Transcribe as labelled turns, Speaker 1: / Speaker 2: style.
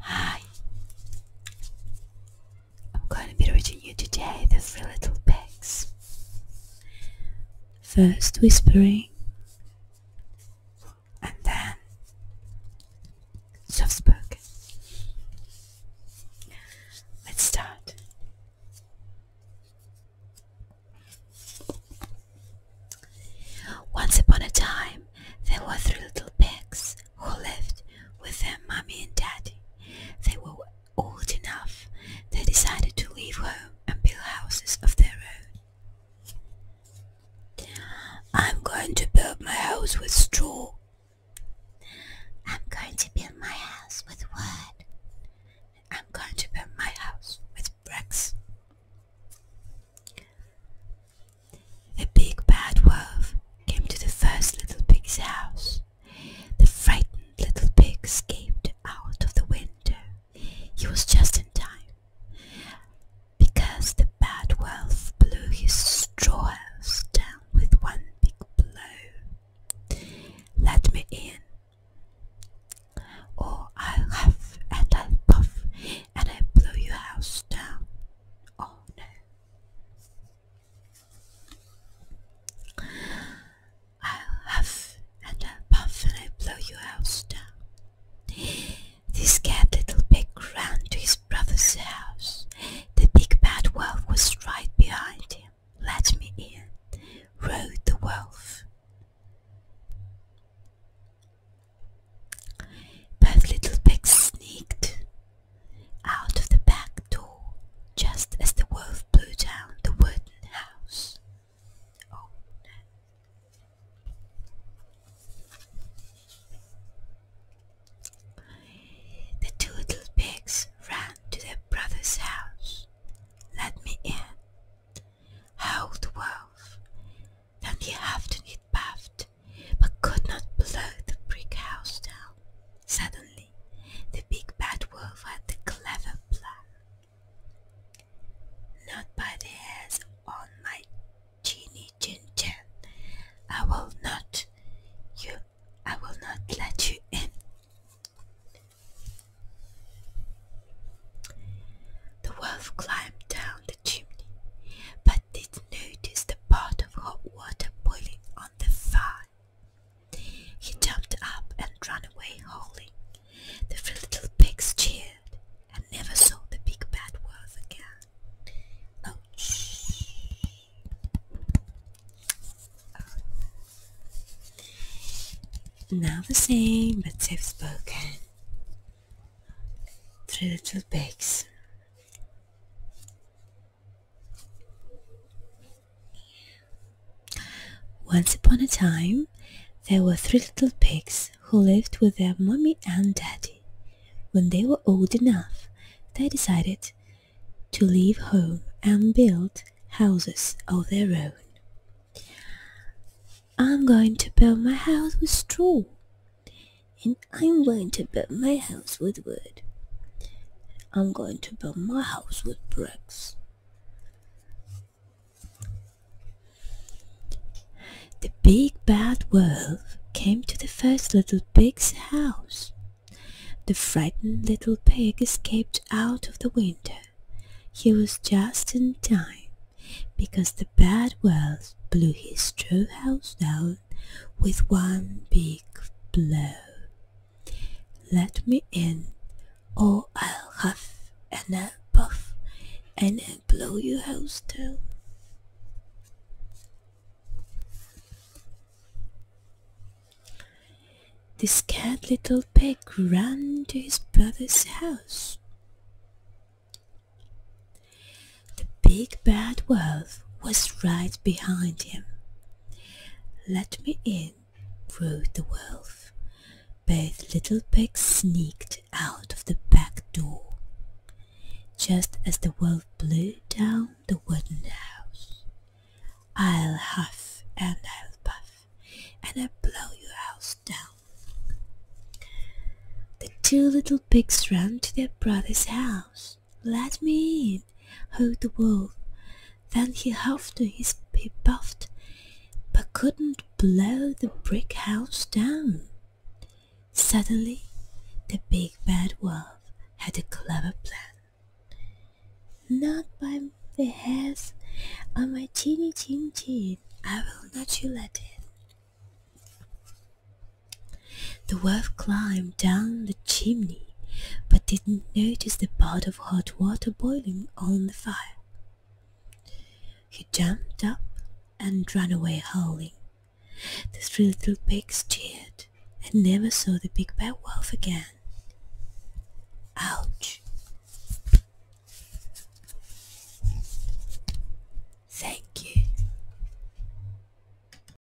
Speaker 1: Hi, I'm going to be reading you today the three little pigs. First whispering, and then soft spoken. Let's start. Once upon a time, there were three little pigs who lived with their mommy and daddy. They were old enough. They decided to leave home and build houses of their own. I'm going to build my house with straw. I'm going to build my house with wood. I'm going to build my house with bricks. The big bad wolf came to the first little pig's house. The frightened little pig escaped out of the window. He was just in time, because the bad wolf blew his straw house down with one big blow. Let me in, or I'll huff and I'll puff and I'll blow your house down. Oh no. I'll huff and I'll puff and I'll blow your house down. This scared little pig ran to his brother's house. The big bad wolf was right behind him let me in, roared the wolf. Both little pigs sneaked out of the back door just as the wolf blew down the wooden house. Oh, the two little pigs ran to their brother's house. Let me in, howled the wolf. Then he the afternoon puffed, but could not blow the brick house down. Suddenly, the big bad wolf had a clever plan. Not by on my Genie Chin I will not. You I will not let you in. The wolf climbed down the chimney, but did notice the pot of hot water boiling on the fire. He jumped up and ran away howling. The three little pigs cheered and never saw the big bad wolf again. Now the same, but they've spoken Three little pigs. Once upon a time, there were three little pigs who lived with their mummy and daddy. When they were old enough, they decided to leave home and build houses of their own. I'm going to build my house with straw, and I'm going to build my house with wood. I'm going to build my house with bricks. The big bad wolf came to the first little pig's house. The frightened little pig escaped out of the window. He was just in time, because the bad wolf blew his straw house down with one big blow. Let me in, Oh, I'll huff and I'll puff and I'll blow your house down. The scared little pig ran to his brother's house. The big bad wolf was right behind him. Let me in, roared the wolf. Both little pigs sneaked out of the back door, just as the wolf blew down the wooden house. I'll huff and I'll puff, and I'll blow your house down. The two little pigs ran to their brother's house. Let me in. King, the wolf. Then he huffed his he puffed, but couldn't blow the brick house down. Suddenly, the big bad wolf had a clever plan. Not by the hairs on my chinny chin chin, I will not you let in. The wolf climbed down the chimney, but didn't notice the pot of hot water boiling on the fire. He jumped up and ran away howling. The three little pigs cheered and never saw the big bad wolf again. Ouch! Thank you.